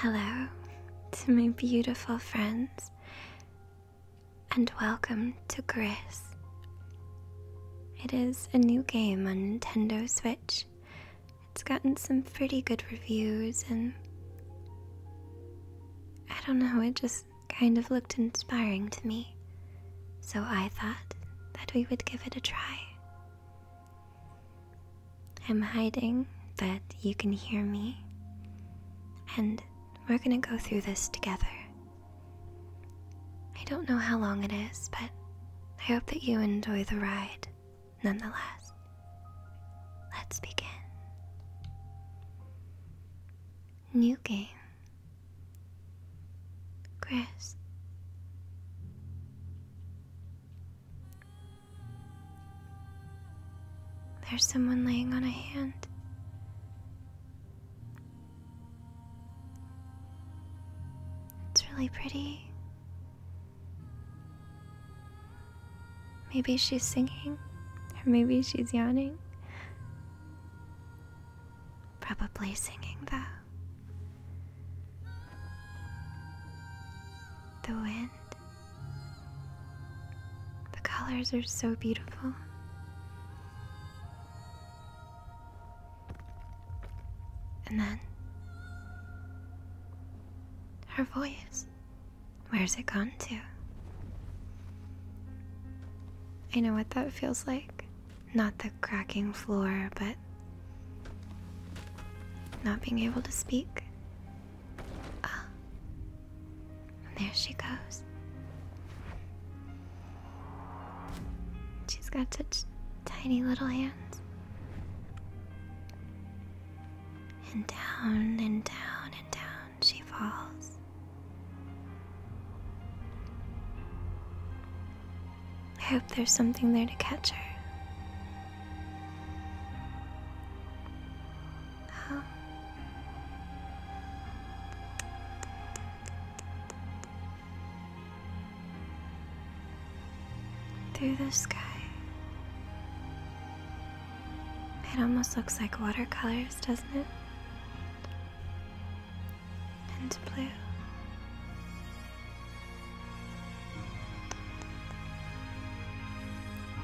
Hello to my beautiful friends, and welcome to Gris. It is a new game on Nintendo Switch. It's gotten some pretty good reviews, and I don't know, it just kind of looked inspiring to me, so I thought that we would give it a try. I'm hiding, but you can hear me, and we're gonna go through this together. I don't know how long it is, but I hope that you enjoy the ride nonetheless. Let's begin. New game. Chris. There's someone laying on a hand. It's really pretty. Maybe she's singing, or maybe she's yawning. Probably singing, though. The wind. The colors are so beautiful. And then. Her voice. Where's it gone to? I know what that feels like. Not the cracking floor, but not being able to speak. Ah. And there she goes. She's got such tiny little hands. And down and down and down she falls. I hope there's something there to catch her. Through the sky. It almost looks like watercolors, doesn't it? and blue.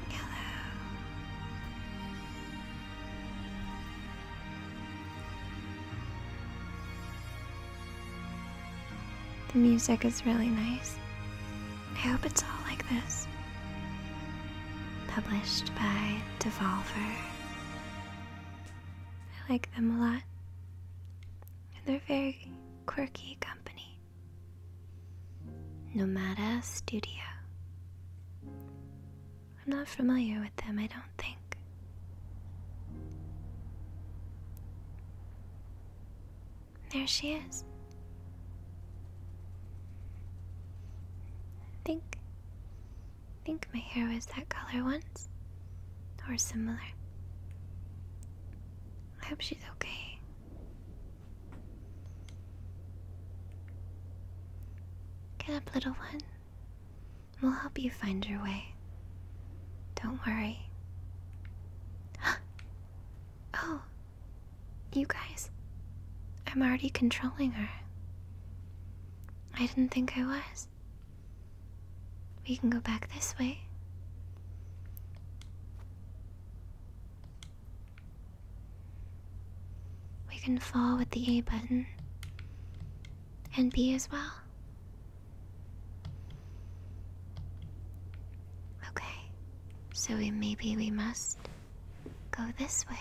Yellow. The music is really nice. I hope it's all like this. Published by Devolver I like them a lot. And they're very quirky company. Nomada Studio. I'm not familiar with them, I don't think. There she is. think I think my hair was that color once, or similar. I hope she's okay. Get up, little one. We'll help you find your way. Don't worry. oh, you guys. I'm already controlling her. I didn't think I was. We can go back this way. We can fall with the A button. And B as well. Okay, so we, maybe we must Go this way.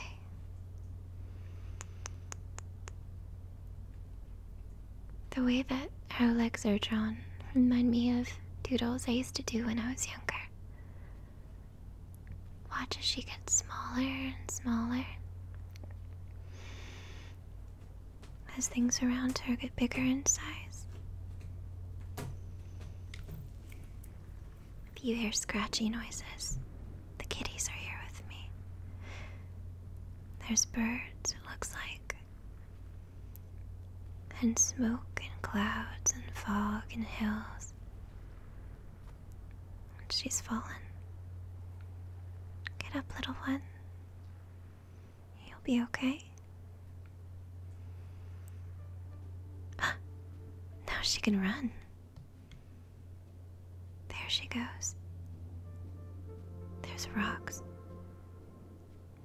The way that our legs are drawn remind me of doodles I used to do when I was younger. Watch as she gets smaller and smaller. As things around her get bigger in size. If you hear scratchy noises, the kitties are here with me. There's birds, it looks like, and smoke and clouds and fog and hills. And she's fallen. Get up, little one. You'll be okay. now she can run. There she goes. There's rocks.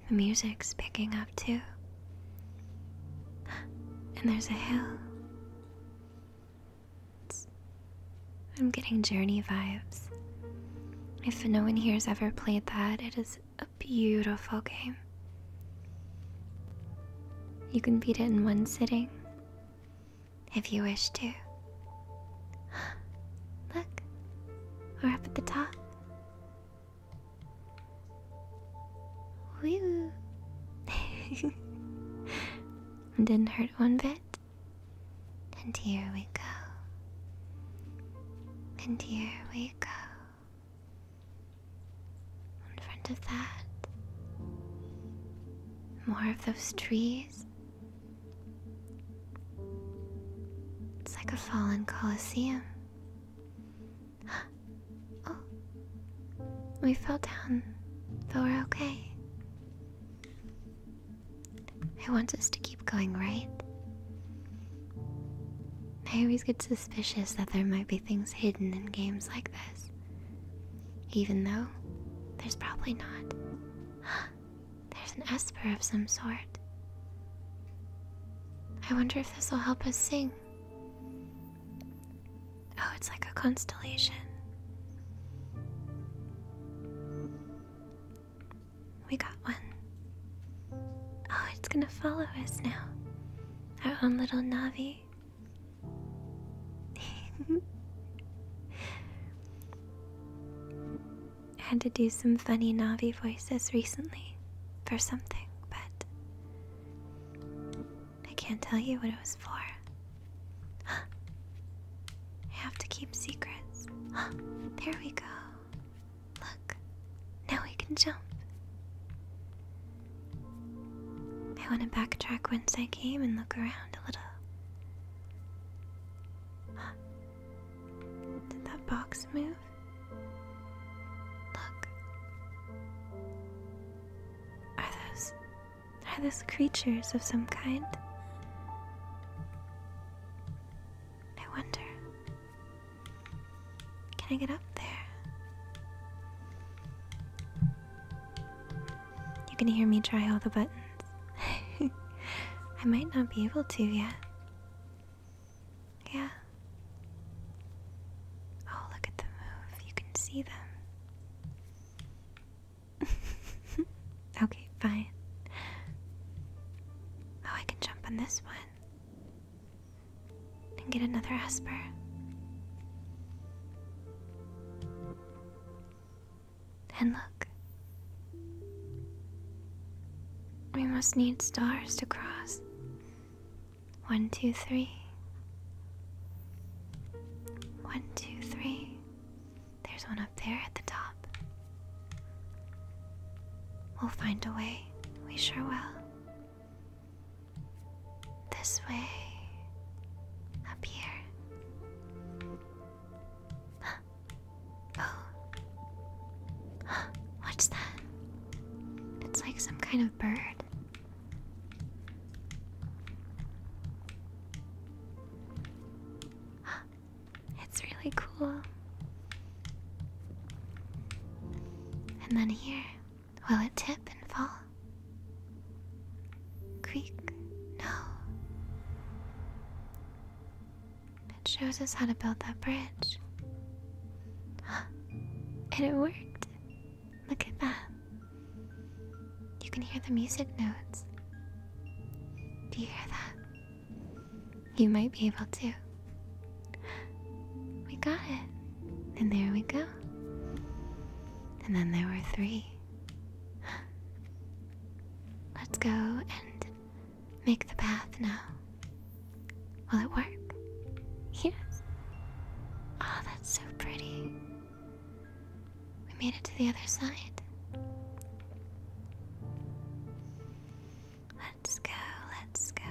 The music's picking up too. And there's a hill. It's, I'm getting journey vibes. If no one here has ever played that, it is a beautiful game. You can beat it in one sitting, if you wish to. Look, we're up at the top. Woo! Didn't hurt one bit. And here we go. And here we go. In front of that. More of those trees. It's like a fallen coliseum. oh, we fell down, but we're okay. I want us to keep going, right? I always get suspicious that there might be things hidden in games like this. Even though there's probably not. there's an Esper of some sort. I wonder if this will help us sing. Oh, it's like a constellation. We got one. Oh, it's gonna follow us now. Our own little Navi I had to do some funny Navi voices recently for something, but I can't tell you what it was for. I have to keep secrets. there we go. Look, now we can jump. I want to backtrack whence I came and look around a little. Did that box move? Look. Are those. are those creatures of some kind? I wonder. Can I get up there? You can hear me try all the buttons. I might not be able to yet. Yeah. Oh, look at them move. You can see them. okay, fine. Oh, I can jump on this one and get another Esper. And look. We must need stars to cross. One, two, three. One, two, three. There's one up there at the top. We'll find a way. We sure will. This way. Up here. Oh. What's that? It's like some kind of bird. It's really cool. And then here. Will it tip and fall? Creak? No. It shows us how to build that bridge. And it worked. Look at that. You can hear the music notes. Do you hear that? You might be able to. We got it. And there we go. And then there were three. Let's go and make the path now. Will it work? Yes. Oh, that's so pretty. We made it to the other side. Let's go, let's go.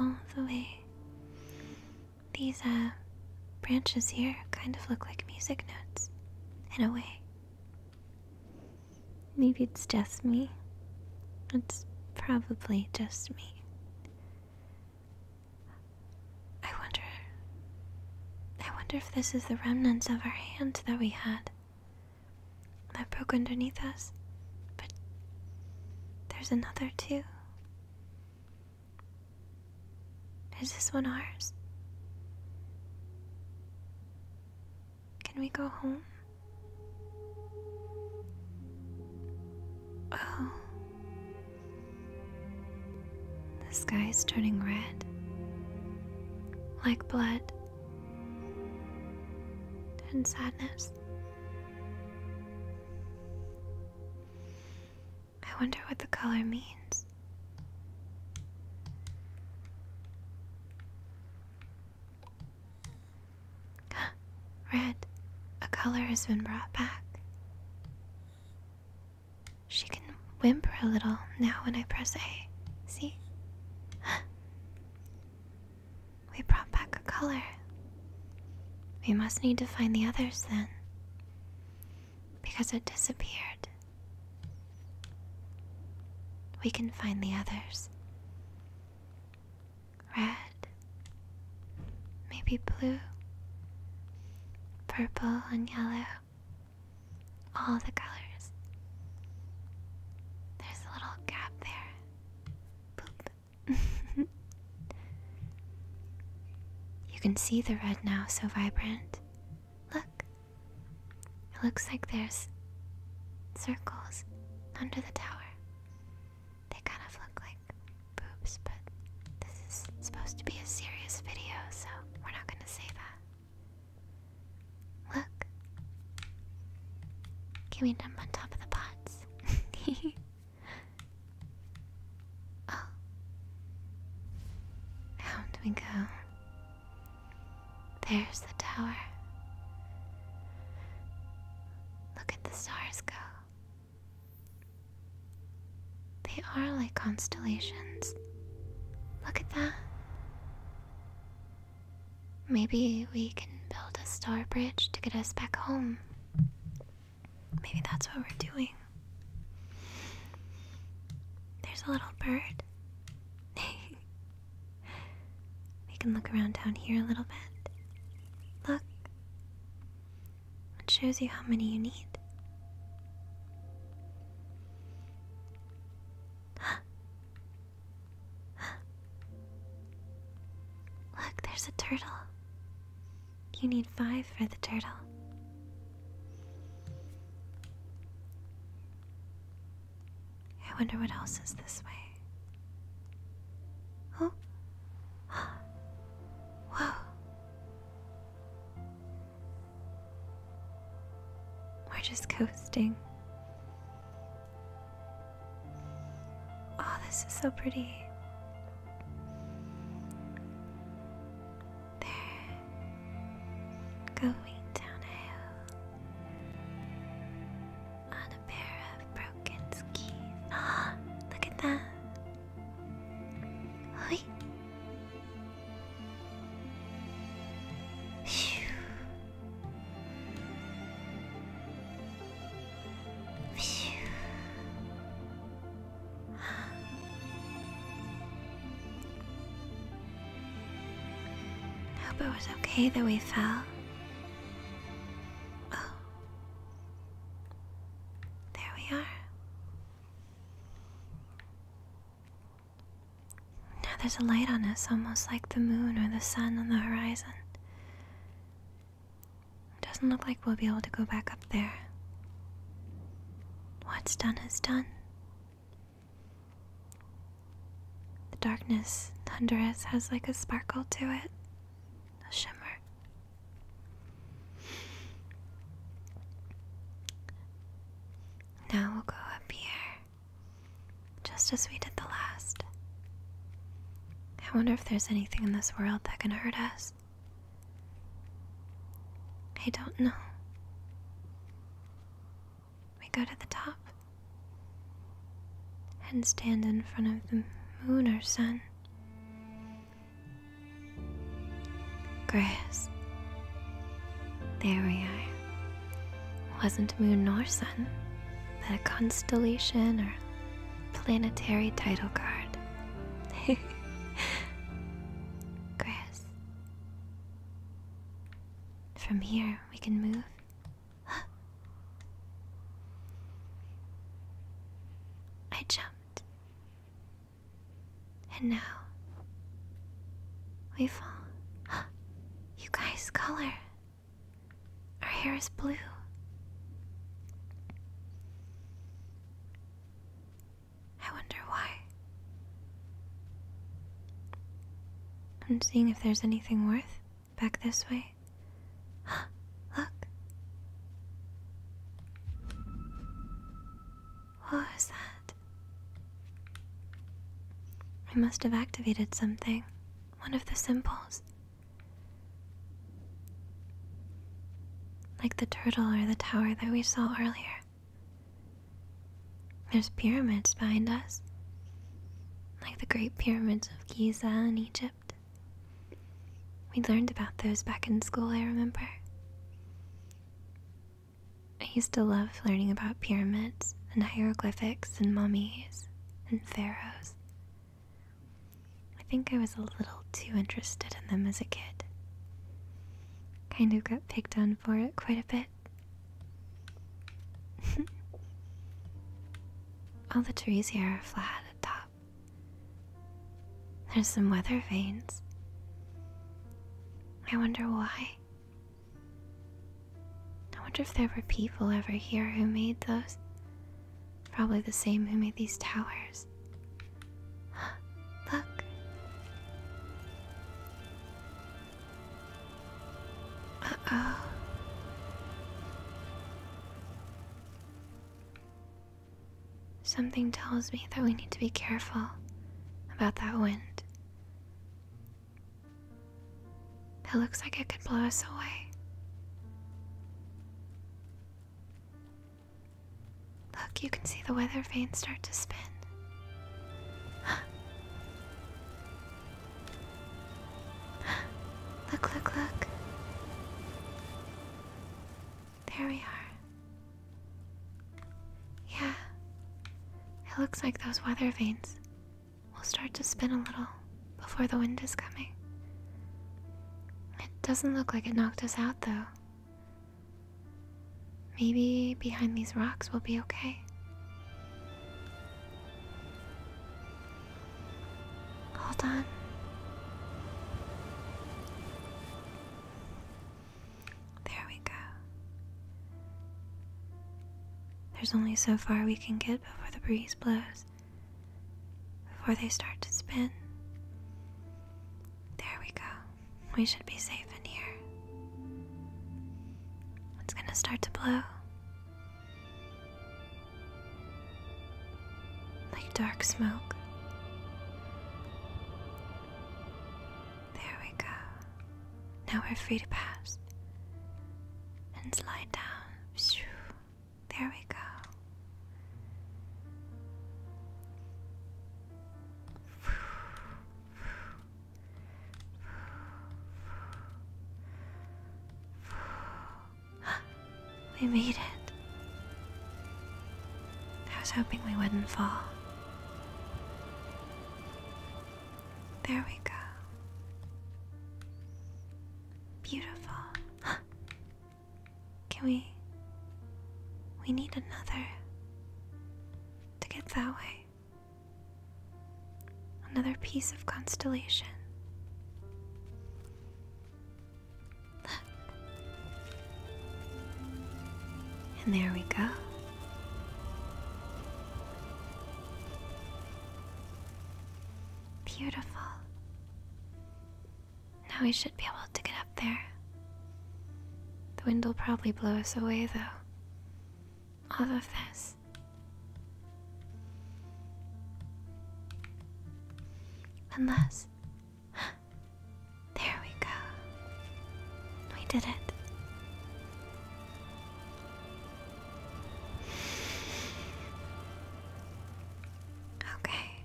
All the way these, uh, branches here kind of look like music notes, in a way. Maybe it's just me. It's probably just me. I wonder. I wonder if this is the remnants of our hand that we had that broke underneath us. But there's another too. Is this one ours? Can we go home? Oh. The sky is turning red. Like blood. And sadness. I wonder what the color means. Red, a color has been brought back. She can whimper a little now when I press A. See? We brought back a color. We must need to find the others then. Because it disappeared. We can find the others. Red. Maybe blue. Purple and yellow. All the colors. There's a little gap there. Boop. you can see the red now, so vibrant. Look. It looks like there's circles under the tower. They kind of look like boobs, but this is supposed to be a serious video, so we're not going to say that. Look. Can we dump on top of the pots? Oh. Down we go. There's the tower. Look at the stars go. They are like constellations. Look at that. Maybe we can build a star bridge to get us back home. Maybe that's what we're doing. There's a little bird. we can look around down here a little bit. Look. It shows you how many you need. Look, there's a turtle. You need five for the turtle. I wonder what else is this way. Oh. Whoa. We're just coasting. Oh, this is so pretty. There. Going down a hill on a pair of broken skis. Ah, look at that. Hoi. Phew. I hope it was okay that we fell. There we are. Now there's a light on us, almost like the moon or the sun on the horizon. It doesn't look like we'll be able to go back up there. What's done is done. The darkness, thunderous, has like a sparkle to it, a shimmer. Now we'll go up here, just as we did the last. I wonder if there's anything in this world that can hurt us. I don't know. We go to the top and stand in front of the moon or sun. Grass. There we are. Wasn't moon nor sun, but a constellation or Planetary title card. Grass. From here, we can move. I jumped. And now we fall. you guys, color. Our hair is blue. I wonder why. I'm seeing if there's anything worth back this way. Look. What that? I must have activated something. One of the symbols. Like the turtle or the tower that we saw earlier. There's pyramids behind us, like the great pyramids of Giza in Egypt. We learned about those back in school, I remember. I used to love learning about pyramids and hieroglyphics and mummies and pharaohs I think I was a little too interested in them as a kid. Kind of got picked on for it quite a bit. All the trees here are flat at top. There's some weather vanes. I wonder why. I wonder if there were people ever here who made those. Probably the same who made these towers. Look. Uh oh. Something tells me that we need to be careful about that wind. It looks like it could blow us away. Look, you can see the weather vane start to spin. look, look, look. There we are. Yeah, it looks like those weather vanes we will start to spin a little before the wind is coming. It doesn't look like it knocked us out though. Maybe behind these rocks we'll be okay. Hold on. There we go. There's only so far we can get before the breeze blows before they start to spin. There we go. We should be safe in here. It's gonna start to blow. Like dark smoke. There we go. Now we're free to pass and slide down. There we go. we made it. I was hoping we wouldn't fall. There we go. Beautiful. Can we? We need another to get that way. Another piece of constellation. And there we go. Beautiful. Now we should be able to get up there. The wind will probably blow us away, though. All of this. Unless. There we go. We did it. Okay.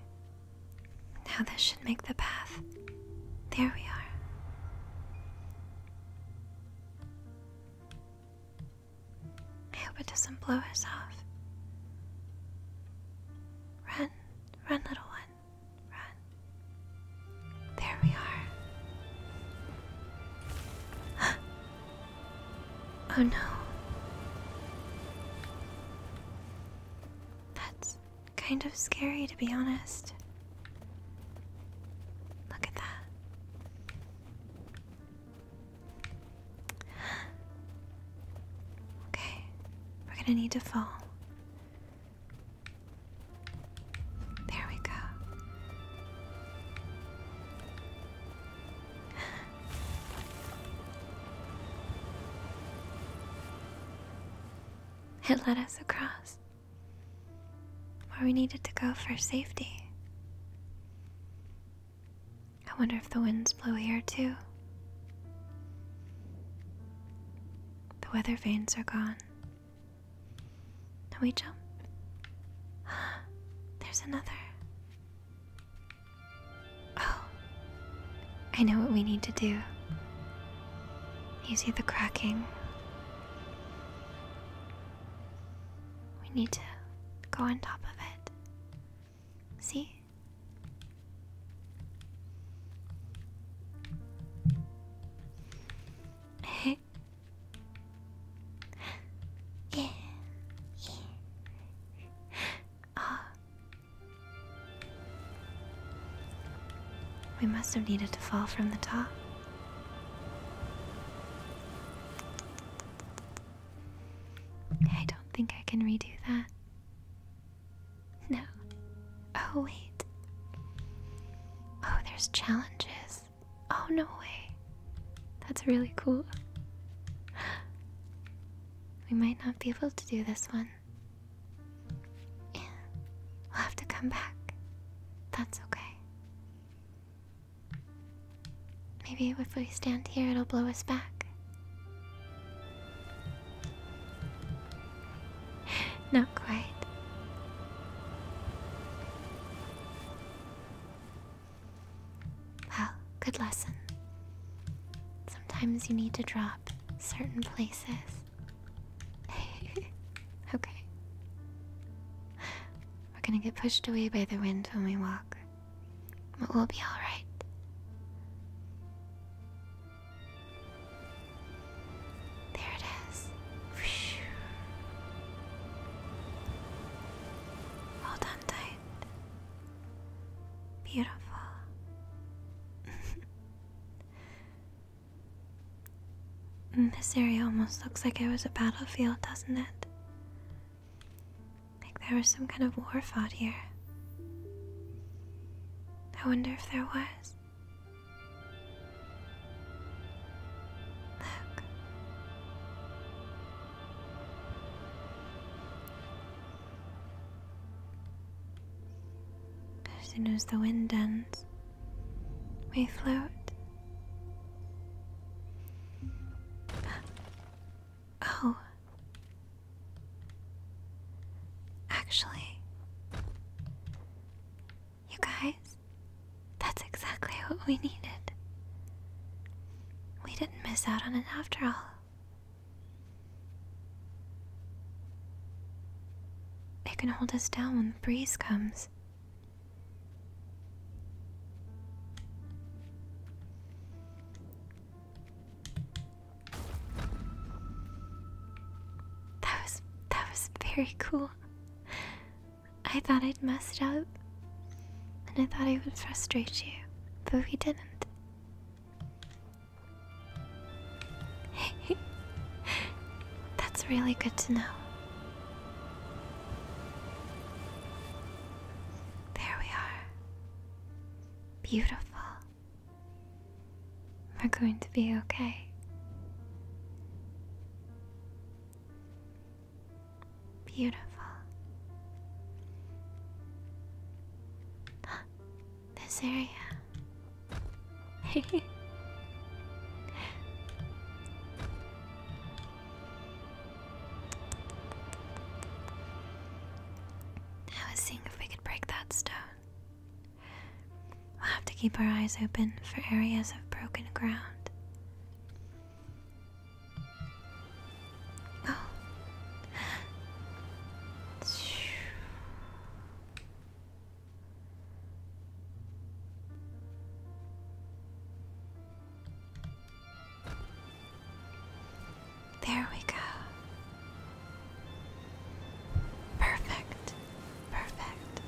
Now this should make the path. There we are. I hope it doesn't blow us off. Run, run, little one, run. There we are. Oh no. That's kind of scary, to be honest. Look at that. Okay, we're gonna need to fall. There we go. It led us across where we needed to go for safety. I wonder if the winds blew here too. The weather vanes are gone. Can we jump? There's another. Oh, I know what we need to do. You see the cracking? We need to go on top of it. See? yeah, yeah. Ah. We must have needed to fall from the top. I don't think I can redo that. No. Oh, wait. Oh, there's challenges. Oh, no way. That's really cool. We might not be able to do this one. we'll have to come back. That's okay. Maybe if we stand here, it'll blow us back. Not quite. Well, good lesson. Sometimes you need to drop certain places. okay. We're gonna get pushed away by the wind when we walk, but we'll be alright. There it is. Hold on. Beautiful. this area almost looks like it was a battlefield, doesn't it? Like there was some kind of war fought here. I wonder if there was. Look. As soon as the wind ends, we float. Oh. Actually, you guys, that's exactly what we needed. We didn't miss out on it after all. It can hold us down when the breeze comes. That was that was very cool. I thought I'd messed up, and I thought I would frustrate you, but we didn't. that's really good to know. There we are. Beautiful. We're going to be okay. Beautiful. this area. I was seeing if we could break that stone. We'll have to keep our eyes open for areas of broken ground. There we go. Perfect. Perfect.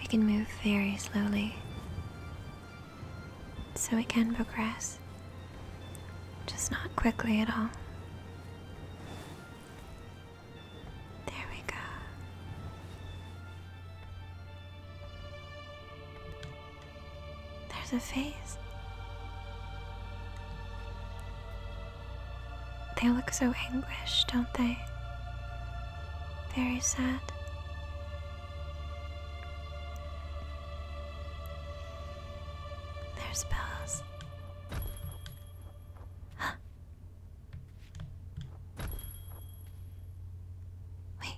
We can move very slowly so we can progress, just not quickly at all. There we go. There's a face. They look so anguished, don't they? Very sad. There's bells. Wait,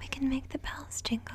we can make the bells jingle.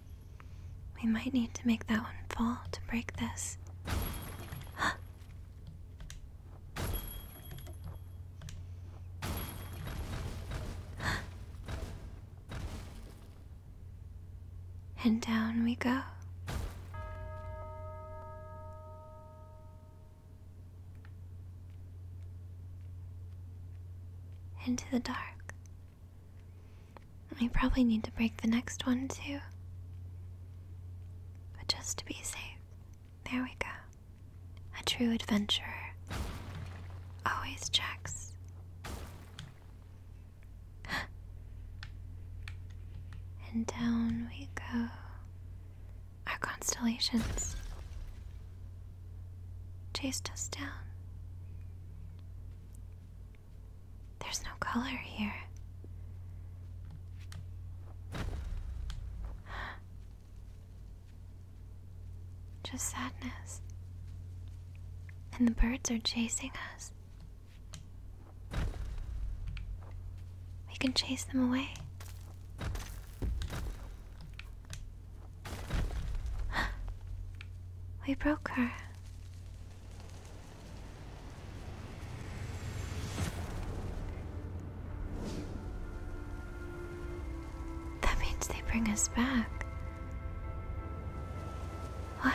We might need to make that one fall to break this. and down we go. Into the dark. We probably need to break the next one too. But just to be safe. There we go. A true adventurer always checks. and down we go. Our constellations chased us down. There's no color here. Just sadness. And the birds are chasing us. We can chase them away. we broke her. That means they bring us back. What?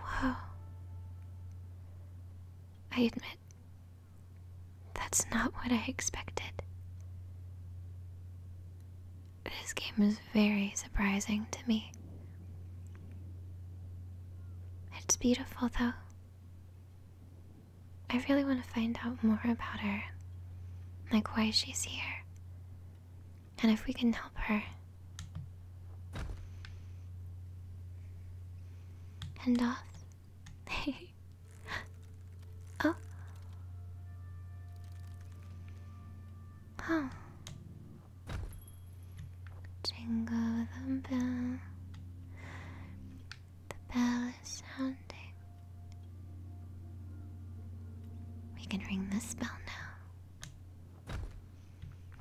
Whoa. I admit, that's not what I expected. This game is very surprising to me. It's beautiful, though. I really want to find out more about her, like why she's here, and if we can help her. And off oh. Huh. Jingle bell. The bell is sounding. We can ring this bell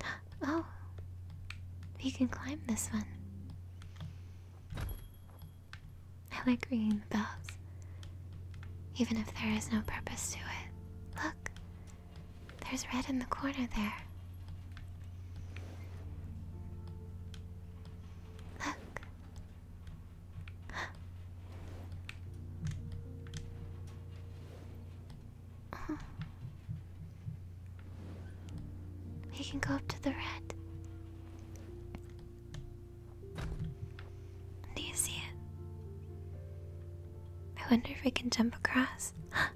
now. Oh. We can climb this one. I like ringing the bells, even if there is no purpose to it. Look, there's red in the corner there. Look. We can go up to the red. Do you see it? I wonder if I can jump across.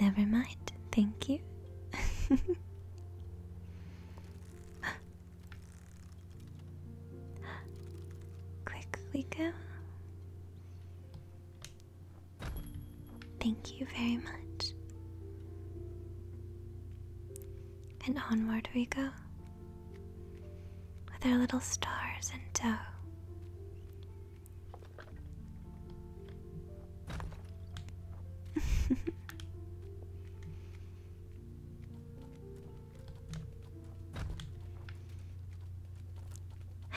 Never mind, thank you. Quick, we go. Thank you very much. And onward we go with our little stars and dough.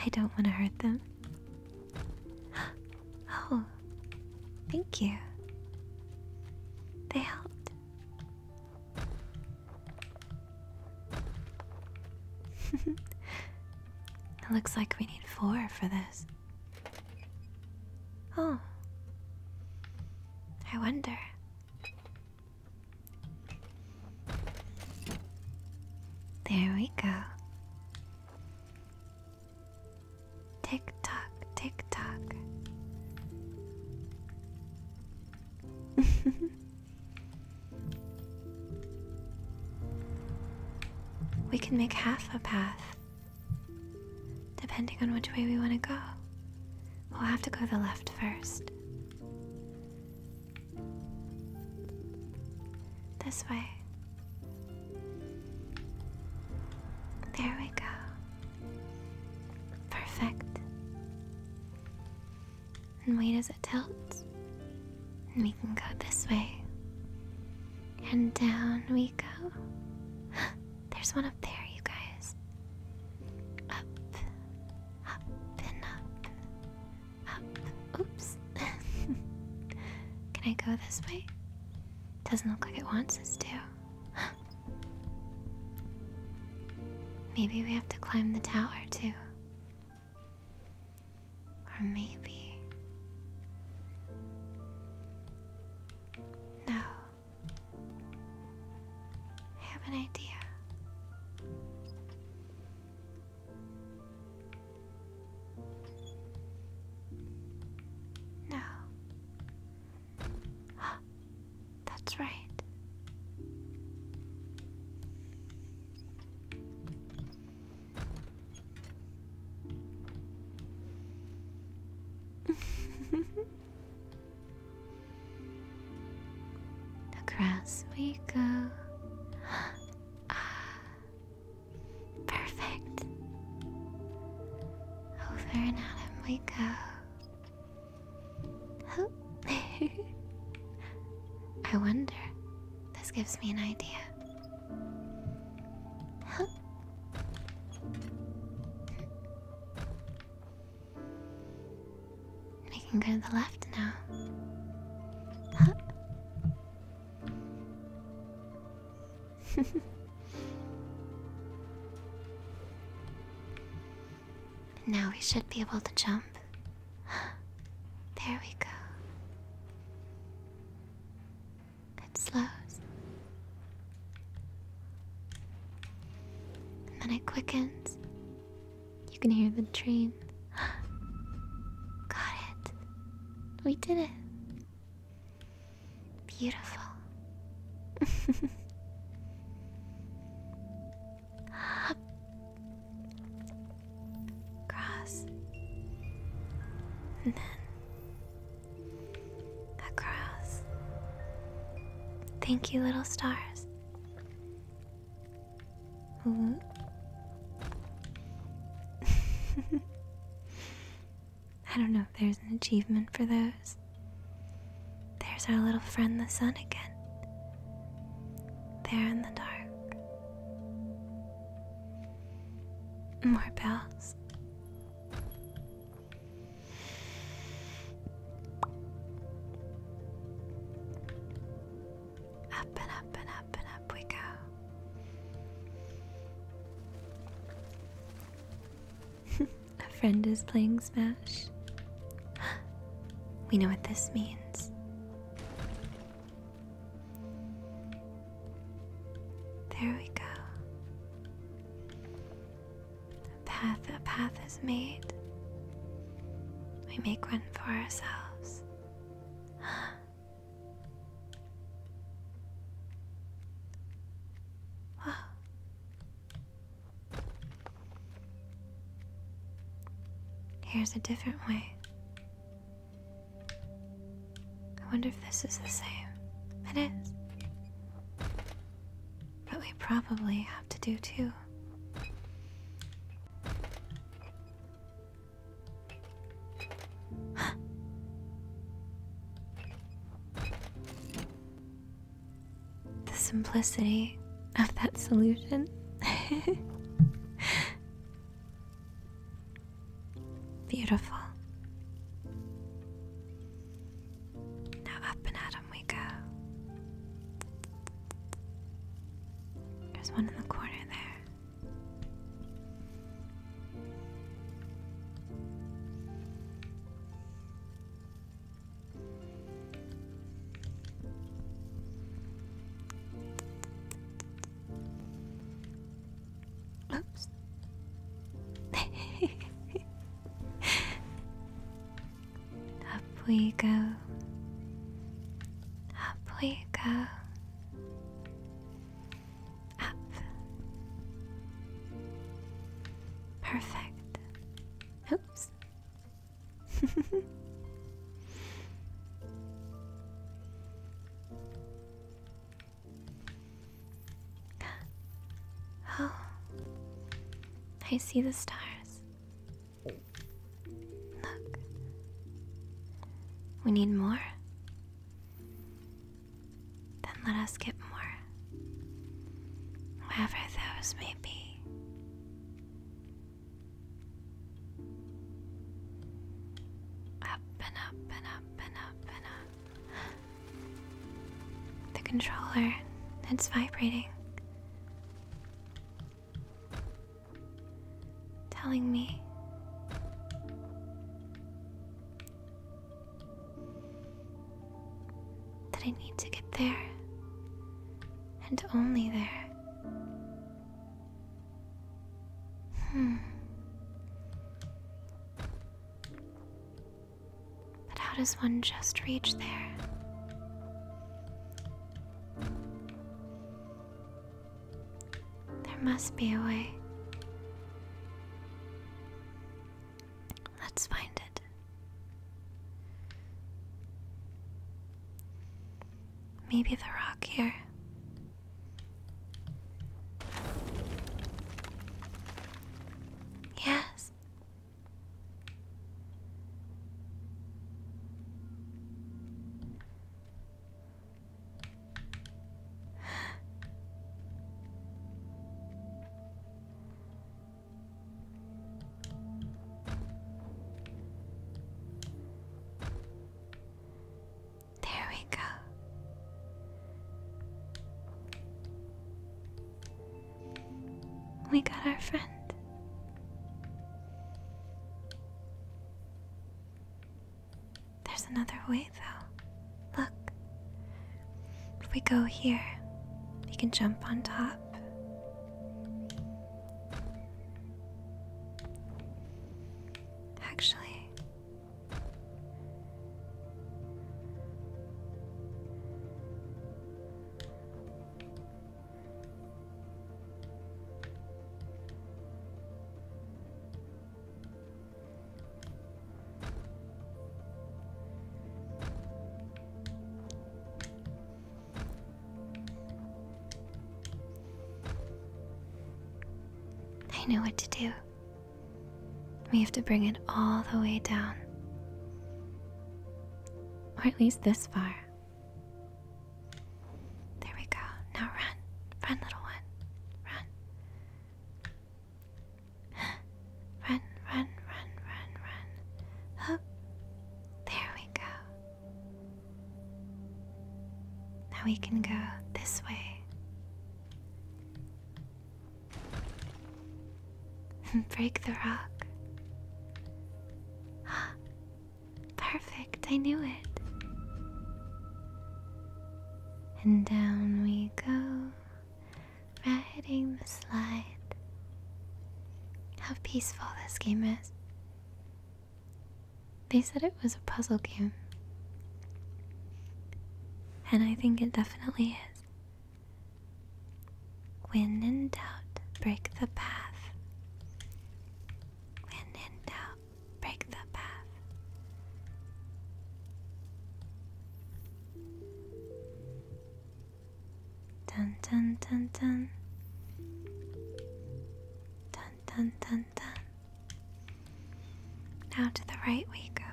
I don't want to hurt them. Oh, thank you. They helped. it looks like we need four for this. Oh. I wonder. There we go. Tick tock, tick tock. we can make half a path, depending on which way we want to go. We'll have to go the left first. This way. There we go. Perfect. And wait as it tilts. And we can go this way. And down we go. There's one up there, you guys. Up, up, and up. Up. Oops. can I go this way? Doesn't look like it wants us to. maybe we have to climb the tower too. Or maybe. No. I have an idea. No. That's right. Across we go. Perfect. Over and out of we go. Oh. I wonder. This gives me an idea. Huh. We can go to the left now. Huh. now we should be able to jump. There we go. It slows. And then it quickens. You can hear the train. Got it. We did it. Beautiful. Cross. And then across. Thank you, little stars. Mm-hmm. I don't know if there's an achievement for those. There's our little friend, the sun, again. There in the dark. More bells. Up and up and up and up we go. A friend is playing Smash. We know what this means. There we go. A path, a path is made. We make one for ourselves. Here's a different way. I wonder if this is the same. It is. But we probably have to do two the simplicity of that solution. Beautiful. Now up and at him we go. There's one in the corner there. Oops. Up we go. Up we go. Up. Perfect. Oops. oh, I see the stars. Look, we need more. Then let us get more, wherever those may be. Up and up and up and up and up. The controller, it's vibrating. Telling me that I need to get there, and only there. Hmm. But how does one just reach there? There must be a way. Let's find it. Maybe the rock here. Yes. There we go. We got our friend. There's another way, though. Look. If we go here, we can jump on top. Actually, I know what to do. We have to bring it all the way down. Or at least this far. There we go. Now run. Run, little one. Run. Run, run, run, run, run. Hop. Oh, there we go. Now we can go this way. and Break the rock. Perfect, I knew it and down we go, riding the slide. How peaceful this game is. They said it was a puzzle game, and I think it definitely is. When in doubt, break the path. When in doubt, break the path. Dun dun dun dun. Dun dun dun dun. Now to the right we go.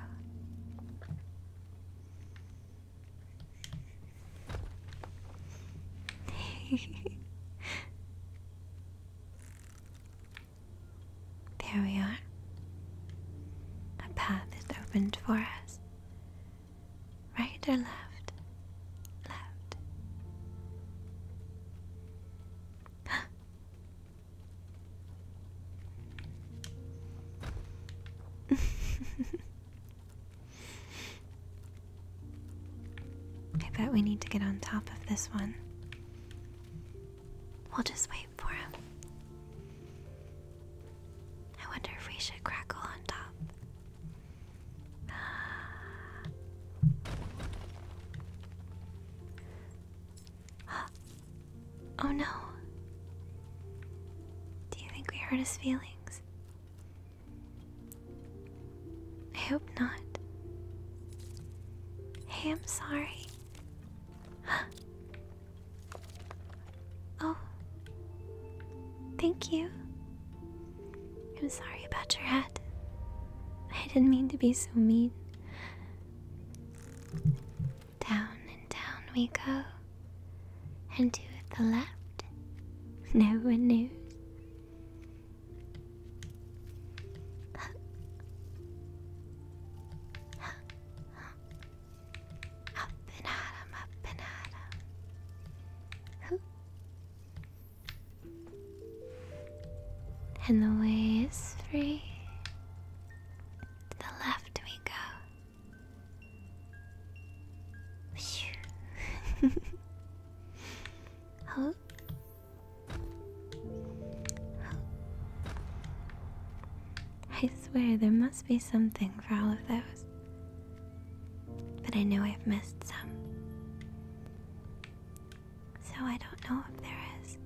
There we are. A path is opened for us. Right or left? Left. I bet we need to get on top of this one. We'll just wait for him. I wonder if we should crackle on top. oh no. Do you think we hurt his feelings? I hope not. Hey, I'm sorry. oh, thank you. I'm sorry about your hat. I didn't mean to be so mean. Down and down we go, and to the left. No one knows. Up and at up and at And the way is free. To the left we go. oh, I swear there must be something for all of those. But I know I've missed some. So I don't know if there is.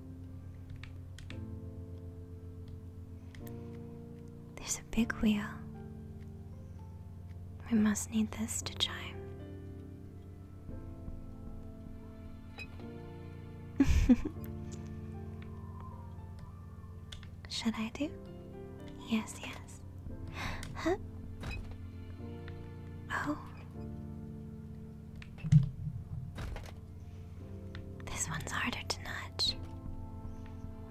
There's a big wheel. We must need this to chime. Should I do? Yes, yes. Huh? Oh. This one's harder to nudge.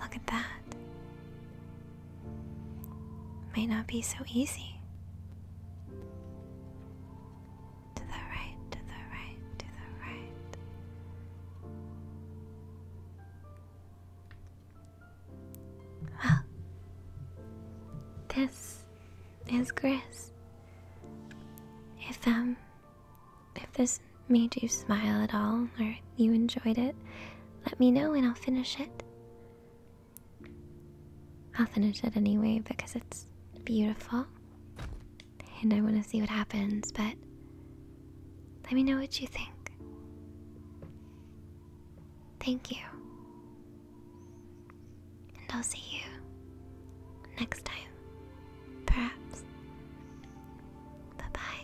Look at that. May not be so easy to the right, to the right, to the right. Well, ah, this is Gris. If um, if this made you smile at all or you enjoyed it, let me know and I'll finish it. I'll finish it anyway because it's beautiful. And I want to see what happens, but let me know what you think. Thank you. And I'll see you next time. Perhaps. Bye bye.